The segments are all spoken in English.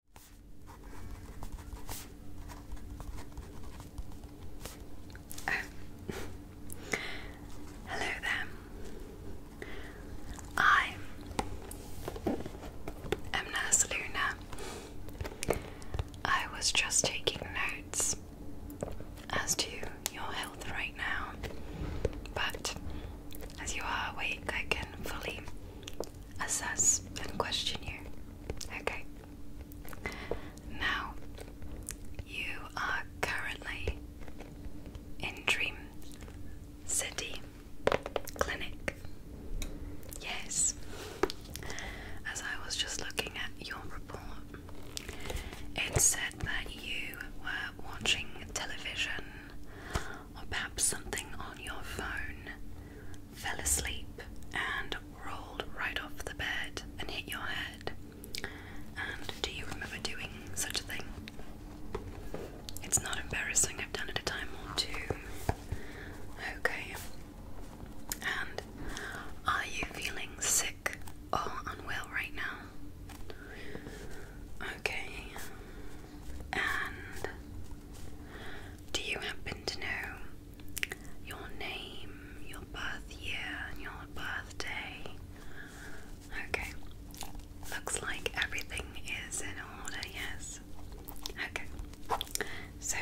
Hello there. I am Nurse Luna. I was just taking notes as to your health right now, but as you are awake, I can fully assess and question you. Okay. Now, you are currently in Dream City Clinic. Yes. As I was just looking at your report, it said that you were watching television or perhaps something on your phone fell asleep and rolled right off the bed and hit your head. And do you remember doing such a thing? It's not embarrassing, I've done it a time or two. Okay. And are you feeling sick or unwell right now? Okay. And do you happen to know your name, your birth year, and your birthday? Okay. Looks like everything is in order, yes. Okay. So,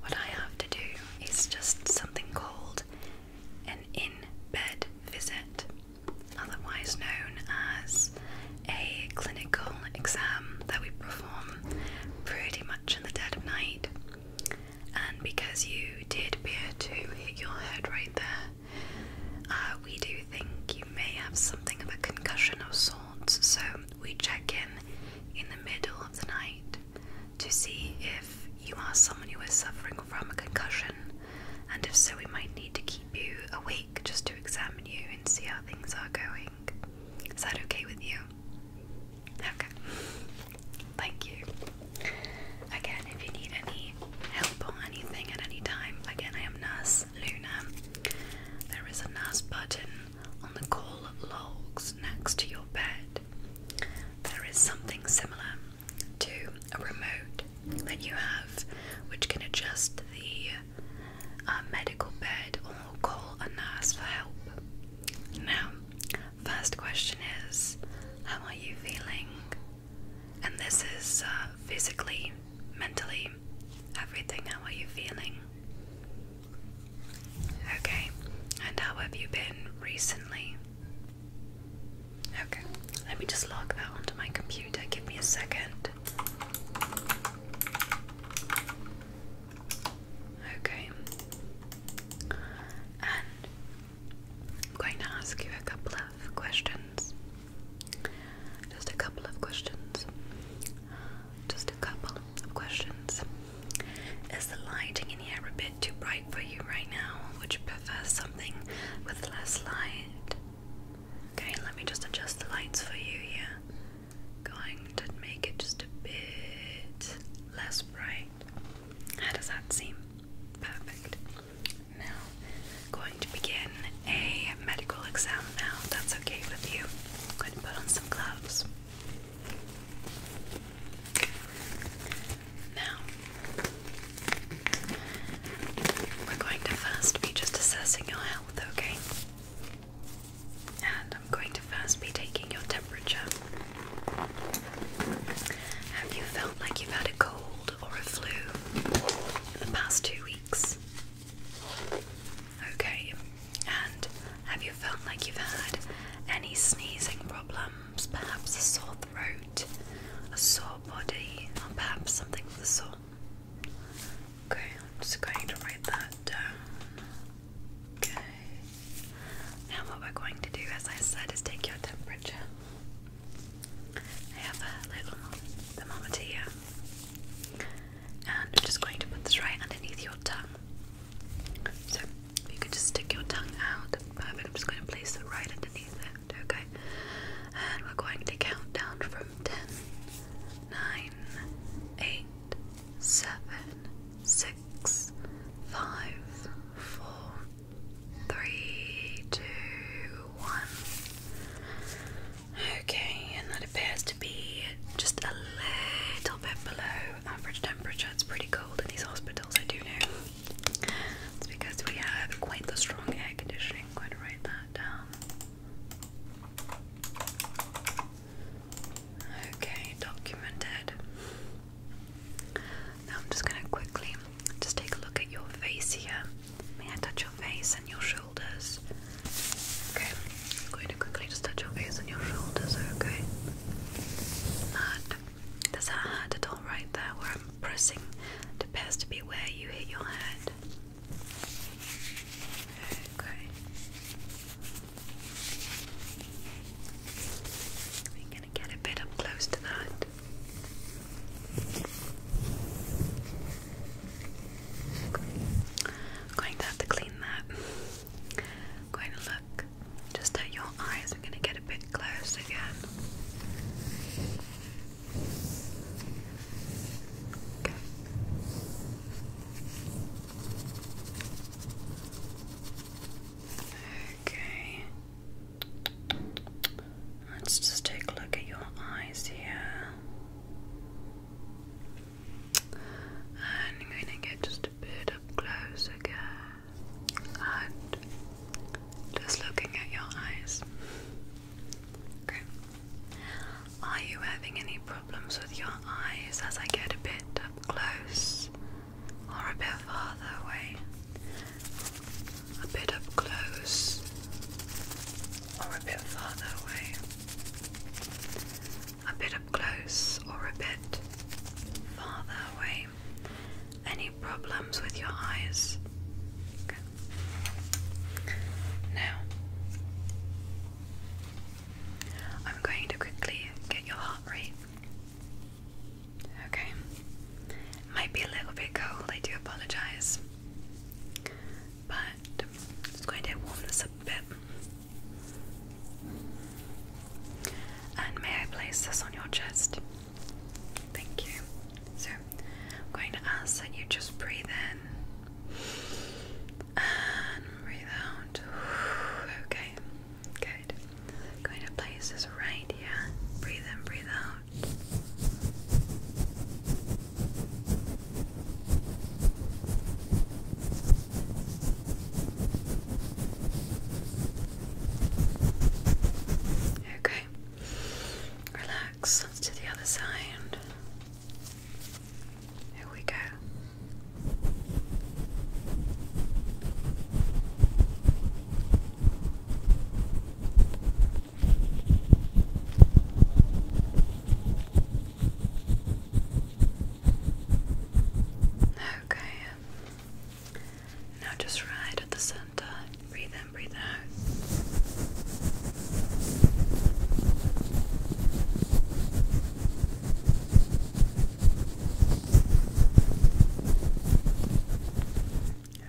what I have to do is just something called an in bed visit, otherwise known as a clinical exam that we perform pretty much in the dead of night. And because you did appear to hit your head right there, uh, we do think you may have something of a concussion of sorts, so we check in in the middle of the night to see if you are someone who is suffering from a concussion, and if so, we might need to keep you awake just to examine you and see how things are going. Is that okay with you? Okay. Thank you. Again, if you need any help or anything at any time, again, I am Nurse Luna. There is a nurse button on the call logs next to your bed. There is something similar to a remote that you have, which can adjust the a medical bed or call a nurse for help. Now, first question is how are you feeling? And this is uh, physically, mentally, everything. How are you feeling? Okay, and how have you been recently? Okay, let me just log that onto my computer. Give me a second. Okay. And I'm going to ask you a couple of questions. Just a couple of questions. Just a couple of questions. Is the lighting in here a bit too bright for you right now? Would you prefer something with less light? Okay, let me just adjust the lights for you here going to make it just a bit less bright. How does that seem? Perfect. Now, going to begin a medical exam now, that's okay with you. going to put on some gloves. Now, we're going to first be just assessing your health, okay? And I'm going to first be taking your temperature. Have you felt like you've had a cold or a flu in the past two weeks? Okay. And have you felt like you've had any sneezing problems? Perhaps a sore throat, a sore body, or perhaps something of the sort? Okay, I'm just going to write that down. Okay. Now, what we're going to do, as I said, is take your temperature. I have a little thermometer And I'm just going to put this right underneath your tongue. So you can just stick your tongue out. Perfect. I'm just going to place it right underneath it. Okay. And we're going to count down from 10, 8, seven, six, five, four, three, two, one. Okay, and that appears to be just a little bit below average temperature. It's pretty cold in these hospitals, I do know. It's because we have quite the strong air conditioning. going to write that down. Um, Okay, documented. Now I'm just going to quickly just take a look at your face here. May I touch your face and your shoulders? Okay, I'm going to quickly just touch your face and your shoulders, okay? Not. Does that hurt at all right there where I'm pressing? It appears to be where you hit your head. Okay. We're gonna get a bit up close to that. going to have to clean that. going to look just at your eyes. I'm going to get a bit close again. Okay. Let's just take a look at your eyes here. And I'm going to get just a bit up close again. And just looking at your eyes. Okay. Are you having any problems with your eyes as I get a bit up close or a bit farther away? A bit up close or a bit farther away? A bit up close or a bit farther away? Any problems with your eyes? Okay. Now, I'm going to quickly get your heart rate. Okay. Might be a little bit cold, I do apologize. But I'm just going to warm this a bit. And may I place this on your chest? Thank you. So I'm going to ask that you just breathe in and breathe out. Okay, good. going to place this right here. Breathe in, breathe out. Okay, relax. Let's do the other side. Here we go. Okay. Now just right at the center. Breathe in, breathe out.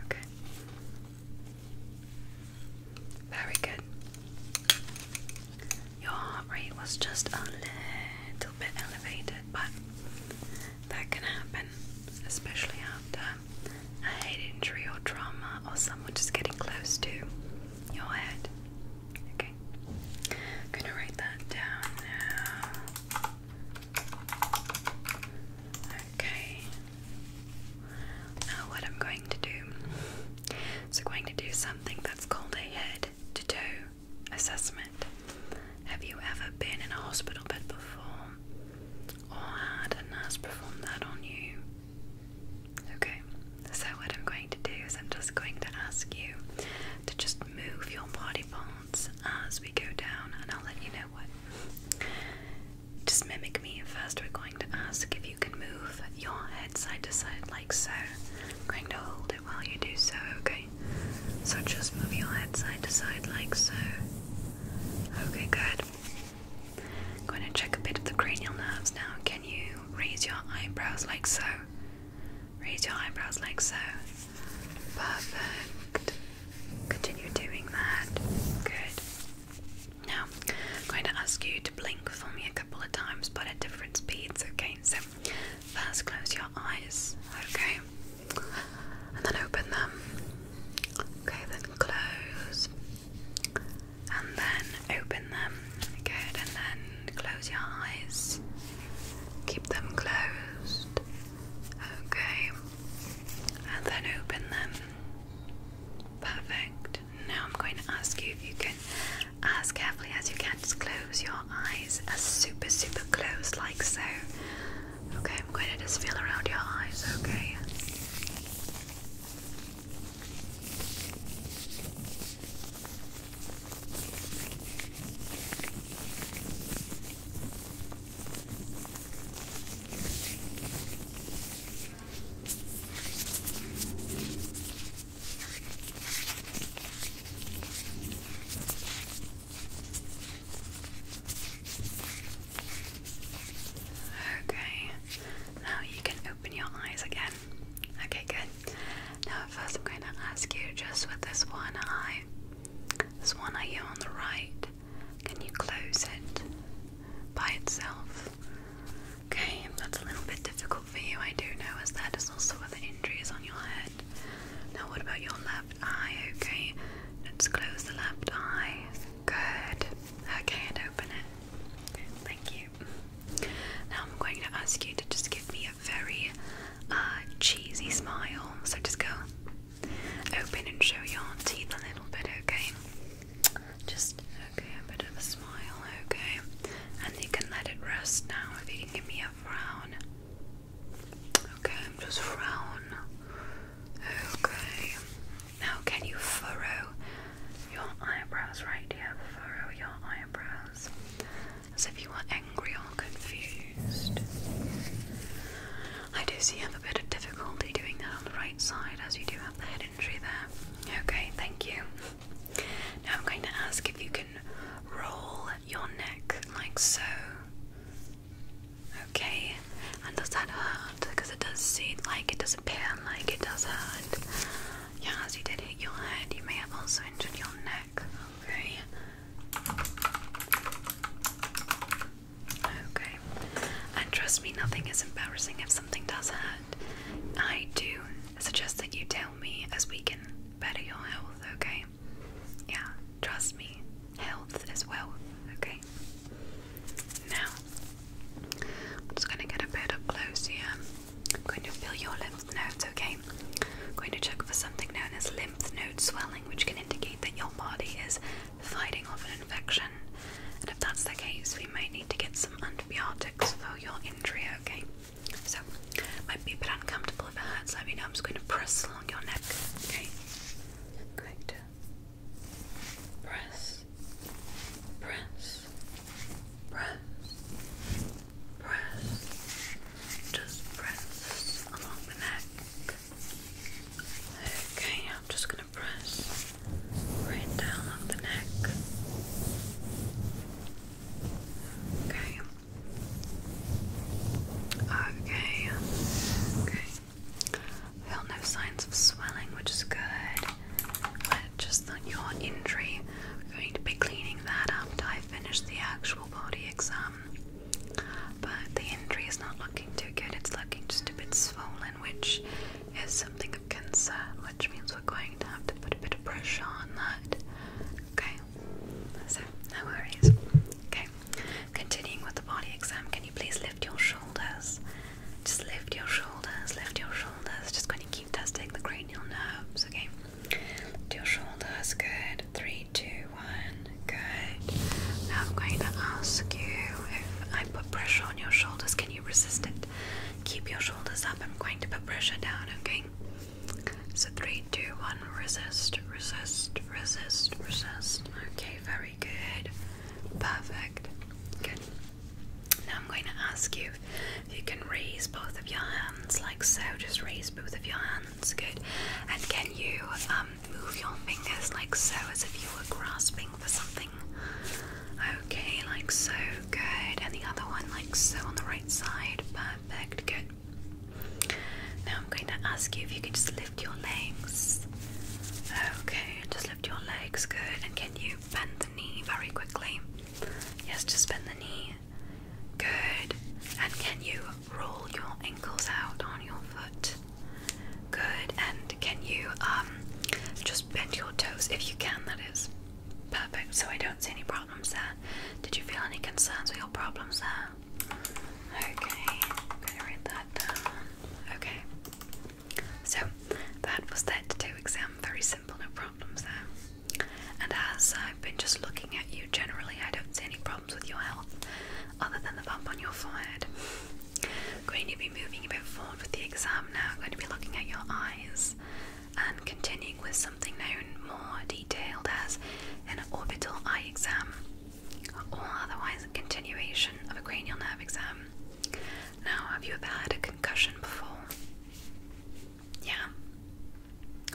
Okay. Very good. Your heart rate was just a little bit elevated, but that can happen, especially after a head injury or trauma or someone just getting close to your head. Okay. I'm gonna write that down now. Okay. Now what I'm going to do is going to do something that's called a head to toe assessment. Have you ever been in a hospital bed before? Or had a nurse perform that on you? Okay. So, what I'm going to do is I'm just going to ask you to just move your body parts as we go down, and I'll let you know what. Just mimic me. First, we're going to ask if you can move your head side to side like so. I'm going to hold it while you do so, okay? So, just move your head side to side like so. Okay, good. I'm going to check a bit of the cranial nerves now. Can you raise your eyebrows like so? Raise your eyebrows like so. Perfect. Continue doing that. Good. Now, I'm going to ask you to blink for me a couple of times, but at different speeds, okay? So, first close your eyes, okay? And then open them. Okay, then close. And then open them. Good, and then close your eyes. Keep them closed. Okay. And then open them. Perfect. Now I'm going to ask you if you can, as carefully as you can, just close your eyes as super, super close, like so. Okay, I'm going to just feel around your eyes, okay? Okay, now you can open your eyes again. Okay, good. Now, first, I'm going to ask you just with this one eye, this one eye on the right, can you close it by itself? Okay, that's a little bit difficult for you, I do know, as that is also where the injury on your head. Now, what about your left eye? Okay, let's close the left eye. Good. Okay, and open it. Thank you. Now I'm going to ask you to just give me a very uh, cheesy smile. So just go open and show your teeth a little bit, okay? Just okay, a bit of a smile, okay? And you can let it rest now if you can give me a frown. Okay, just frown. Okay. Now can you furrow your eyebrows right here? Furrow your eyebrows as if you were angry or confused. I do see you have a bit of difficulty doing that on the right side, as you do have the head injury there. Okay, thank you. Now I'm going to ask if you can roll your neck like so. Okay, and does that hurt? Because it does seem like it does pain, like it does hurt. Yeah, as you did hit your head, you may have also injured your neck. Okay. Okay. And trust me, nothing is embarrassing if something does hurt. I do suggest that you tell me as we can better your health, okay? Yeah, trust me. Health is wealth, okay? Now, I'm just gonna get a bit up close here. I'm going to feel your lymph nodes, okay? going to check for something known as lymph node swelling, which can indicate that your body is fighting off an infection. And if that's the case, we might need to get some antibiotics for your injury, okay? So, might be a bit uncomfortable if it hurts. Let me know. I'm just going to press along your neck, okay? going to press, press, press, press, just press along the neck. Okay, I'm just gonna press right down on the neck. Okay. Okay. Okay. Felt no signs of swelling, which is good. But just on your injury, we're going to be cleaning that up after I finish the actual body exam. But the injury is not looking too good, it's looking just a bit swollen, which is something of concern, which means we're going to have to put a bit of pressure on that. Okay, so no worries. Okay, continuing with the body exam, can you please lift your shoulders? Just lift your shoulders, lift your shoulders. Just going to keep testing the cranial nerves, okay? your shoulders, good. Three, two, one, good. Now I'm going to ask you if I put pressure on your shoulders, can you resist it? Keep your shoulders up. I'm going to put pressure down, okay? So three, two, one, resist, resist, resist, resist. Okay, very good. Perfect. Good. Now I'm going to ask you if you can raise both of your hands like so. Just raise both of your hands hands, good. And can you um, move your fingers like so, as if you were grasping for something? Okay, like so, good. And the other one, like so, on the right side, perfect, good. Now I'm going to ask you if you can just lift your legs. Okay, just lift your legs, good. And can you bend the knee very quickly? Yes, just bend the knee. Good. And can you roll your ankles out on your foot? Good. And can you um just bend your toes if you can? That is perfect. So I don't see any problems there. Did you feel any concerns or your problems there? Okay. I'm write that down. Okay. So that was that to do exam. Very simple, no problems there. And as I've been just looking at you generally, I don't see any problems with your health other than the bump on your forehead. Going to be moving a bit forward with the exam now. Going to be looking at your eyes and continuing with something known more detailed as an orbital eye exam, or otherwise a continuation of a cranial nerve exam. Now, have you ever had a concussion before? Yeah.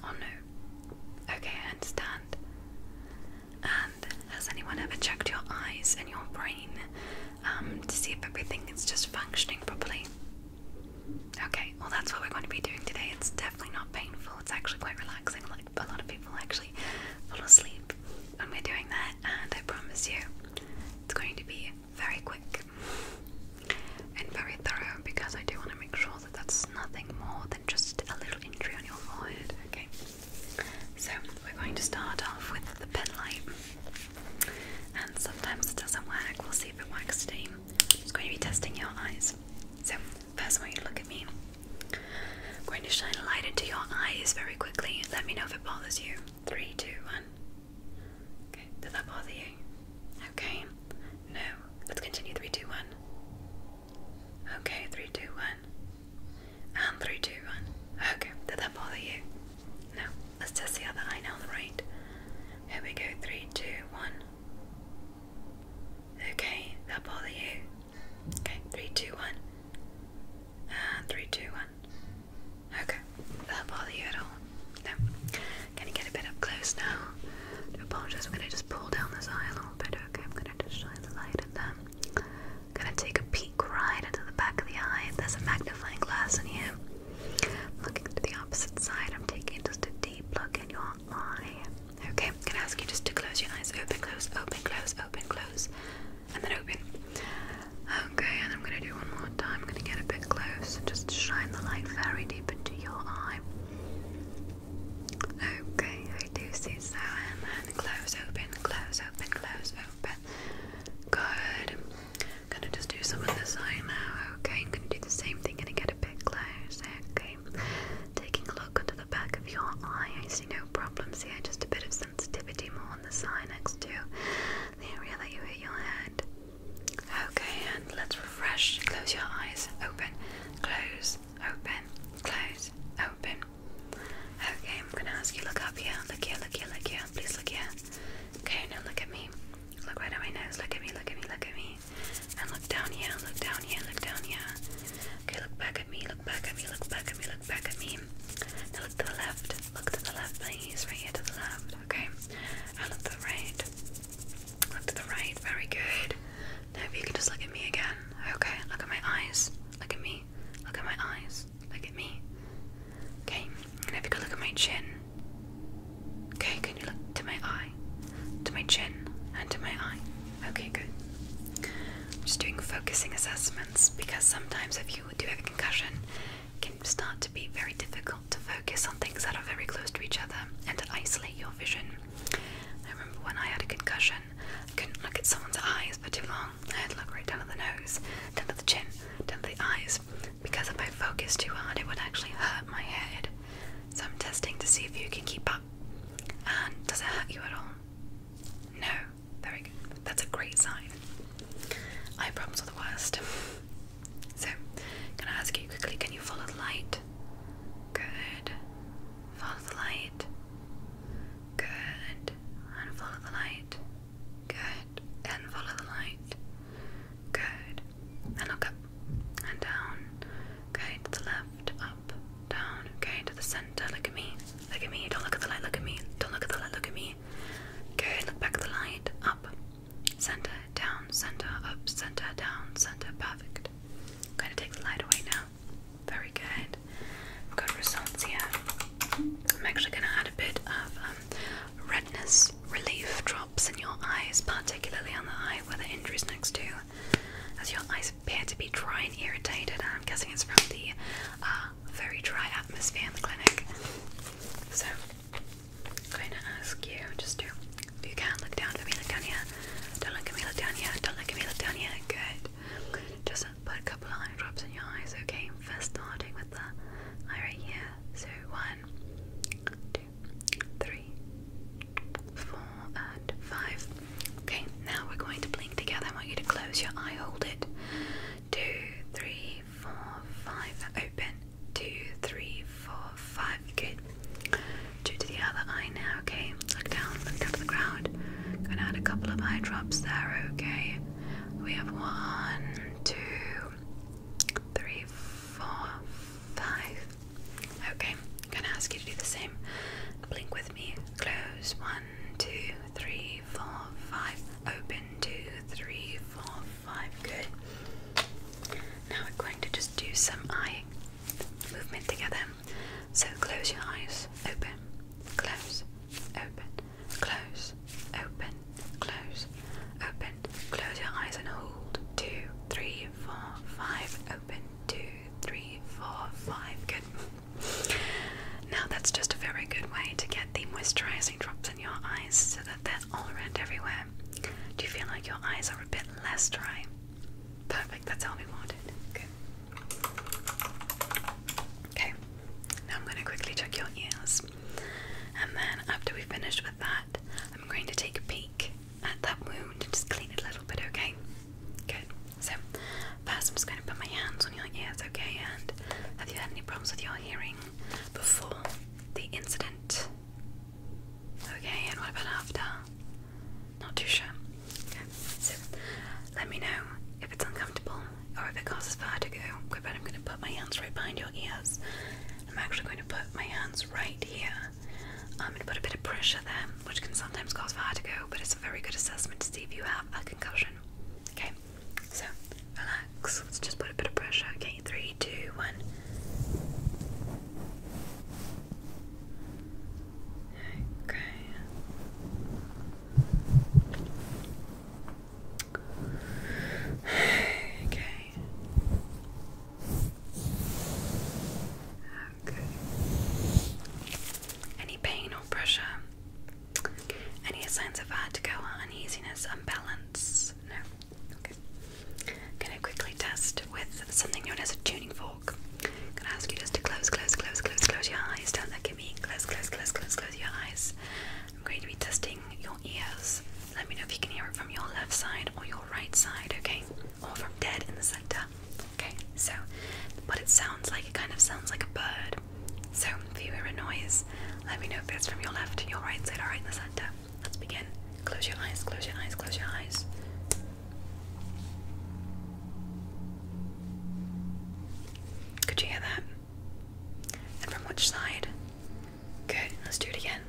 Oh no. Okay, I understand. And has anyone ever checked your eyes and your brain um, to see if everything is just functioning properly? Okay, well, that's what we're going to be doing today. It's definitely not painful, it's actually quite relaxing. Like, a lot of people actually fall asleep when we're doing that, and I promise you, it's going to be very quick and very thorough because I do want to make sure that that's nothing more than just a little injury on your forehead. Okay, so we're going to start off with the pen light, and sometimes it doesn't work. We'll see if it works today. I'm going to be testing your eyes. So, first, when you look at me, I'm going to shine a light into your eyes very quickly. Let me know if it bothers you. Three, two, one. Okay, did that bother you? Okay, no. Let's continue. Three, two, one. Okay, three, two, one. And three, two, one. Okay, did that bother you? No. Let's test the other eye now on the right. Here we go, three, two, one. Okay, that bother you? Okay, three, two, one. And three, two, one. Okay, that bother you at all? No. Can you get a bit up close now? I apologize, I'm gonna just pull down this eye a little bit okay? I'm gonna just shine the light at them. gonna take a peek right into the back of the eye. There's a magnifying glass in here. looking to the opposite side, I'm taking just a deep look in your eye. Okay, I'm gonna ask you just to close your eyes. Open, close, open, close, open, close, and then open. Okay, and I'm gonna do one more time. I'm gonna get a bit close and just shine the light very deep into your eye. Okay, I do see seven and close open, close open, close open. Good. I'm gonna just do some of this side now, okay? I'm gonna do the same thing, gonna get a bit close, okay? Taking a look under the back of your eye, I see no problems here, just a bit of sensitivity more on the side next to the area that you hit your head. Okay, and let's refresh. Close your eyes, open, close, open, close, open. Okay, I'm gonna ask you look up here, look here, look here, look here. Please look here. Okay, now look at me. Look right at my nose. Look at me, look at me, look at me. And look down here, look down here, look down here. Okay, look back at me, look back at me, look back at me, look back at me. Now look to the left. Look to the left, please. Right here to the left. Okay. And look to the right. Look to the right. Very good. Now if you can just look at me again, okay? Look at my eyes. Look at me. Look at my eyes. Look at me. Okay. And if you could look at my chin. Okay, can you look to my eye? To my chin and to my eye. Okay, good. just doing focusing assessments because sometimes if you do have a concussion, it can start to be very difficult to focus on things that are very close to each other and to isolate your vision. I remember when I had a concussion, I couldn't look at someone's eyes for too long. I had to look right down at the nose, down at the chin, down at the eyes, because if I focused too hard, it would actually hurt my head. So I'm testing to see if you can keep up. And does it hurt you at all? No. Very good. That's a great sign. Eye problems are the worst. So, I'm gonna ask you quickly, can you follow the light? Good. Follow the light. Good. And follow the light. Good. And follow the light. Good. And look up and down. Okay, to the left, up, down. Okay, to the center. Look at me. Look at me. Don't look at the light. Look at me. Don't look at the light. Look at me. Good. Look back at the light. Up, center, down, center, up, center, down, center. Perfect. I'm going to take the light away now. Very good. Good results here. I'm actually going to add a bit of um, redness relief drops in your eyes, particularly on the eye where the injury is next to, as your eyes appear to be dry and irritated. I'm guessing it's from the uh, very dry atmosphere in the clinic. So, I'm going to ask you just to, you can, look down for me, look down here. Don't look at me, look down here. Don't look at me, look down here. Good. Just put a couple of eye drops in your eyes, okay? First starting with the eye right here. So one, two, three, four, and five. Okay, now we're going to blink together. I want you to close your eye, hold it. Two, three, four, five. Open. Two, three, four, five. Good. Due to the other eye now, okay? Look down, look down to the ground. Gonna add a couple of eye drops there, okay? We have one, two, three, four, five. Okay, I'm gonna ask you to do the same. Blink with me. Close. One, two, three, four, five. Open. Two, three, four, five. Good. Now we're going to just do some eye movement together. So close your eyes, open, close, open, close, open, close, open, close your eyes and hold. Two, three, four, five, open, two, three, four, five. Good. Now that's just a very good way to get the moisturizing drops in your eyes so that they're all around everywhere. Do you feel like your eyes are a bit less dry? Perfect, that's all we wanted. Good. Okay, now I'm going to quickly check your ears. And then after we finish with that, I'm going to take a peek at that wound and just clean it a little bit, okay? Good. So, first I'm just going to put my hands on your ears, okay? And have you had any problems with your hearing before the incident? Okay, and what about after? Not too sure. so let me know if it's uncomfortable or if it causes vertigo. Good, but I'm going to put my hands right behind your ears. I'm actually going to put my hands right here. I'm um, going to put a bit of pressure there, which can sometimes cause vertigo, but it's a very good assessment to see if you have a concussion. Okay, so relax. Let's just put a bit of pressure. Okay, three, two, one. Okay. Okay. Okay. Any pain or pressure? Any signs of vertigo uneasiness, imbalance? No. Okay. gonna quickly test with something known as a tuning fork talk. I'm gonna ask you just to close, close, close, close, close your eyes. Don't look at me. Close, close, close, close, close your eyes. I'm going to be testing your ears. Let me know if you can hear it from your left side or your right side, okay? Or from dead in the center. Okay, so what it sounds like, it kind of sounds like a bird. So if you hear a noise, let me know if it's from your left, your right side, or right in the center. Let's begin. Close your eyes, close your eyes, close your eyes. Could you hear that? And from which side? Good, let's do it again.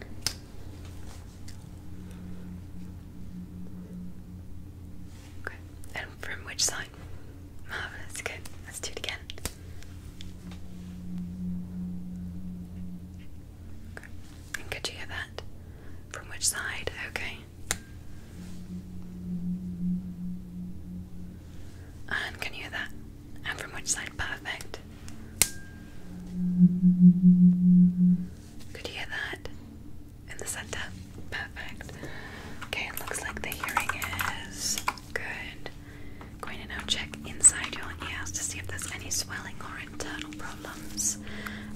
Good. And from which side? Marvelous, good. Let's do it again. Good. And could you hear that? From which side? Okay. And can you hear that? And from which side? Perfect. Could you hear that? In the center? Perfect. Okay, it looks like the hearing is good. Going to now check inside your ears to see if there's any swelling or internal problems.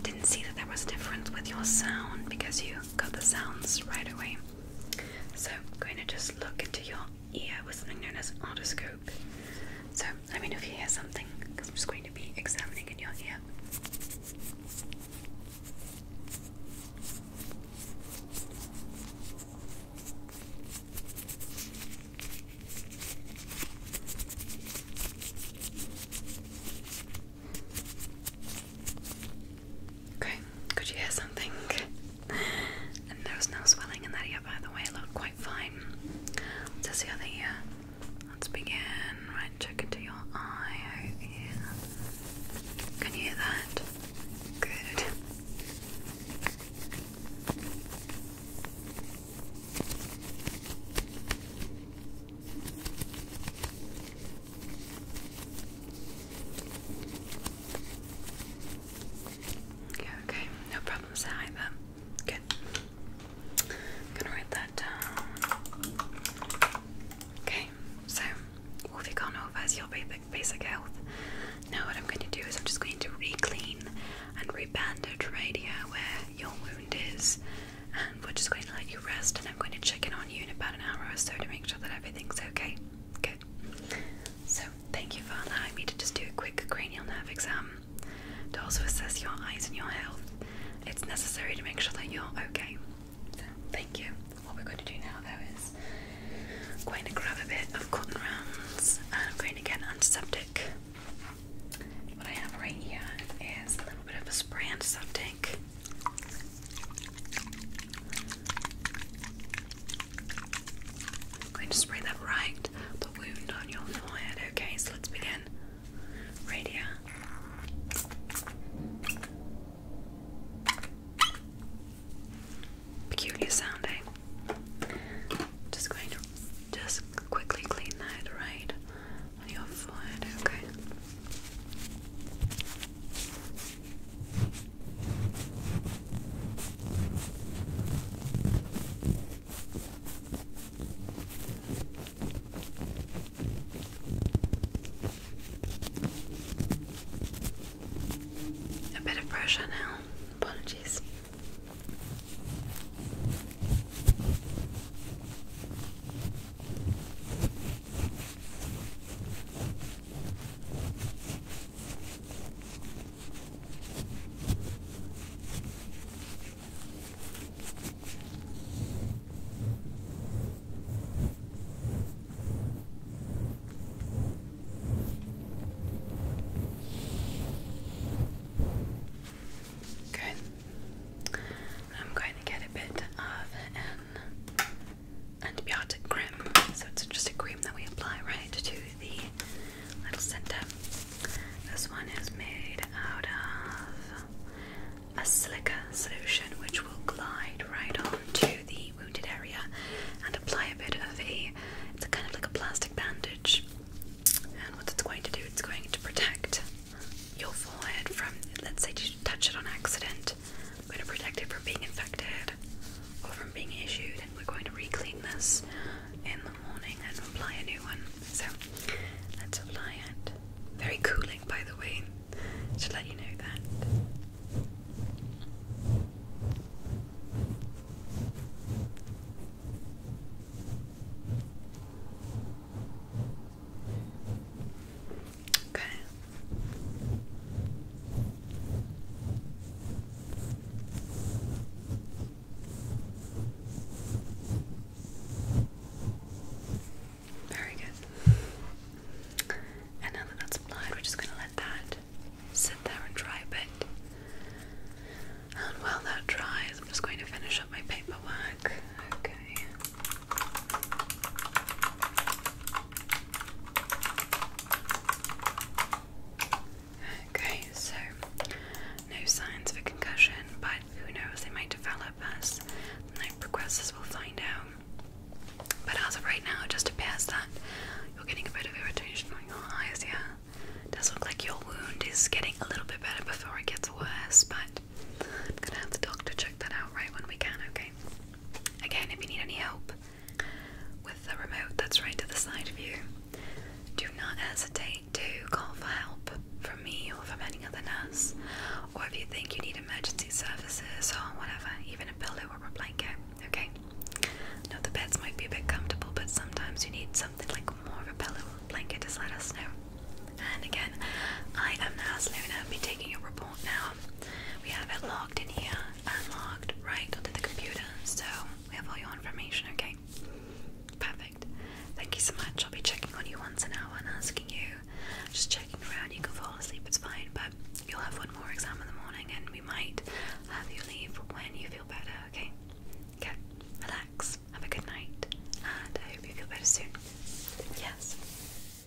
Didn't see that there was a difference with your sound because you got the sounds right away. So I'm going to just look into your ear with something known as an otoscope. So let me know if you hear something I'm just going to be examining in your ear. Okay, could you hear something? And there was no swelling in that ear, by the way, it looked quite fine. Does the other ear? Let's begin. Right, check into your eye, oh Can you hear that? Good okay, no problems either. Good. I'm gonna write that down. Okay, so we've gone over your basic, basic health. Now, what I'm going to do is I'm just going to re clean and re bandage right here where your wound is and um, we're just going to let you rest and I'm going to check in on you in about an hour or so to make sure that everything's okay. Good. So thank you for allowing me to just do a quick cranial nerve exam to also assess your eyes and your health. It's necessary to make sure that you're okay. thank you. What we're going to do now though is I'm going to grab a bit of cotton rounds and I'm going to get antiseptic. What I have right here is a little bit of a spray antiseptic. I'm going to spray that right the wound on your forehead. Okay, so let's begin. Right Peculiar sounding. Eh? Just going to just quickly clean that right on your forehead. Okay. A bit of pressure now. Apologies. Good. I'm going to get a bit of an antibiotic cream. So it's just a cream that we apply right to the little center. This one is made out of a silica solution which will glide right on to the wounded area and apply a bit of a it's kind of like a plastic bandage. And what it's going to do, it's going to protect your forehead from let's say you touch it on accident it. i going to protect it from being infected or from being issued, and we're going to re-clean this in the morning and apply a new one. So let's apply it. Very cooling, by the way. to let you know that. Okay. Very good. And now that that's applied, we're just going to let that sit there and dry a bit. And while that dries, I'm just going to finish up my paperwork. Okay. Okay, so no signs of a concussion, but who knows, they might develop as the progress. As we'll find out. But as of right now, just to pass that you're getting a bit of irritation on your eyes, yeah? It does look like your wound is getting a little bit better before it gets worse, but I'm gonna have the doctor check that out right when we can, okay? Again, if you need any help with the remote that's right to the side of you, do not hesitate to call for help from me or from any other nurse, or if you think you need emergency services or whatever, even a pillow or a blanket, okay? Now, the beds might be a bit comfortable, but sometimes you need something like more of a pillow or blanket, just let us know. And again, I am Nurse Luna, I'll be taking your report now. We have it logged in here and logged right onto the computer, so we have all your information, okay? Perfect. Thank you so much. I'll be checking on you once an hour and asking you, just checking around. You can fall asleep, it's fine, but you'll have one more exam in the morning and we might have you leave when you feel better, okay? Okay, relax, have a good night, and I hope you feel better soon. Yes.